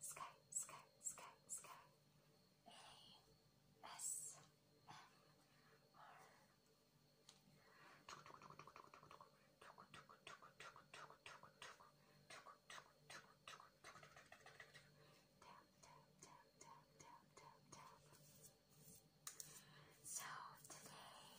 sky, sky, sky, sky. A S M R. So today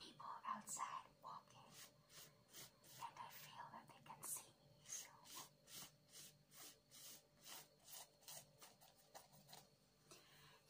people outside walking, and I feel that they can see me,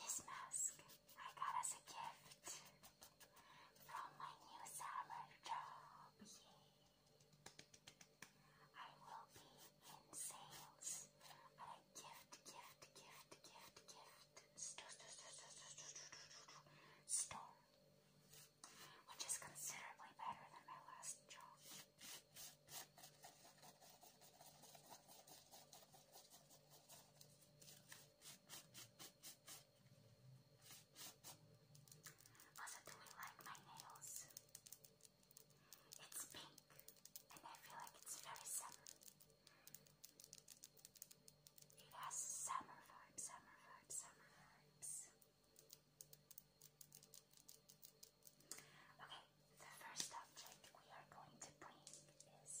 This mask I got as a gift from my new summer job. Yay. I will be in sales gift, gift, gift, gift, gift. Stone, which is considerably better than my last job. Also, do we like my nails? It's pink, and I feel like it's very summer. It has summer vibes, summer vibes, summer vibes. Okay, the first object we are going to bring is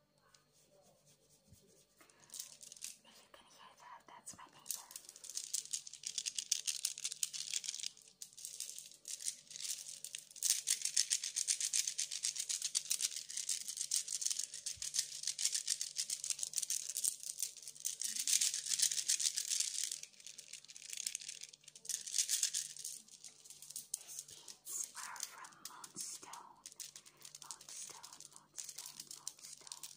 you can hear that, that's my neighbor. His feet were from moonstone, moonstone, moonstone, moonstone.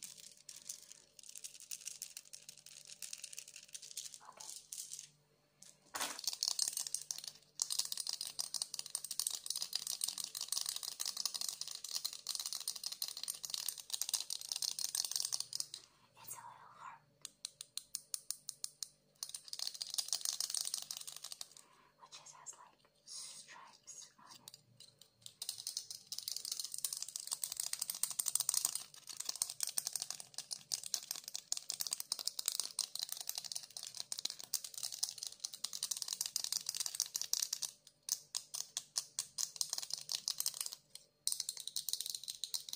Okay. It's a little heart. Which just has like stripes on it.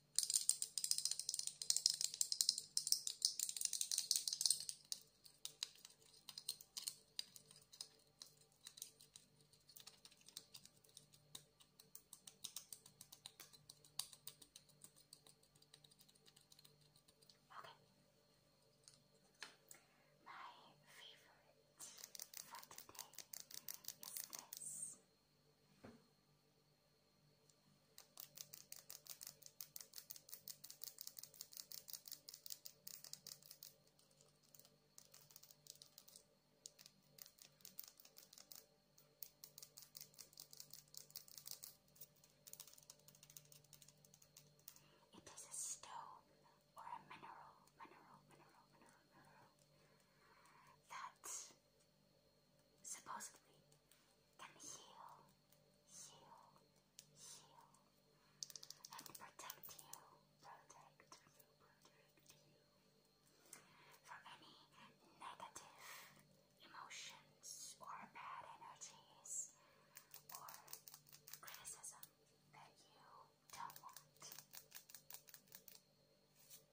Okay. My favorite for today is this. It is a stone or a mineral, mineral, mineral, mineral, mineral supposedly can heal, heal, heal, and protect you, protect you, protect you from any negative emotions or bad energies or criticism that you don't want.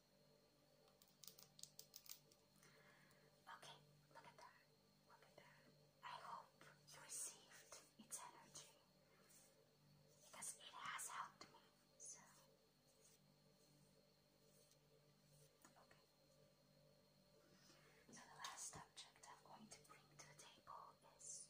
Okay, look at that. Look at that. I hope you received its energy because it has helped me. So, okay. So, the last object I'm going to bring to the table is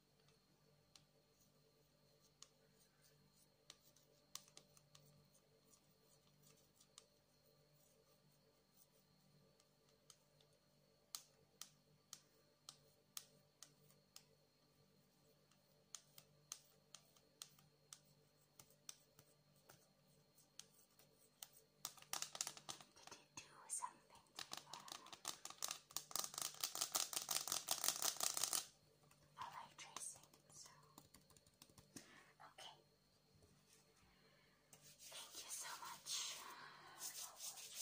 Did you do something I tracing, so okay. Thank you so much for watching.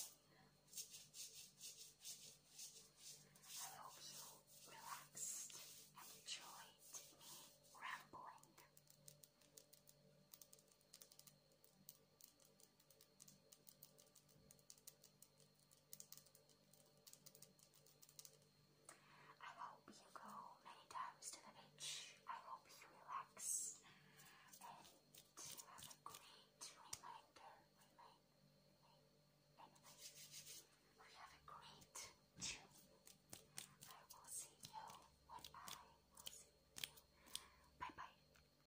I hope you relaxed enjoyed me rambling. I hope you go many times to the beach. I hope you relax and have a great reminder. Remind, we have a great trip. I will see you when I Bye bye.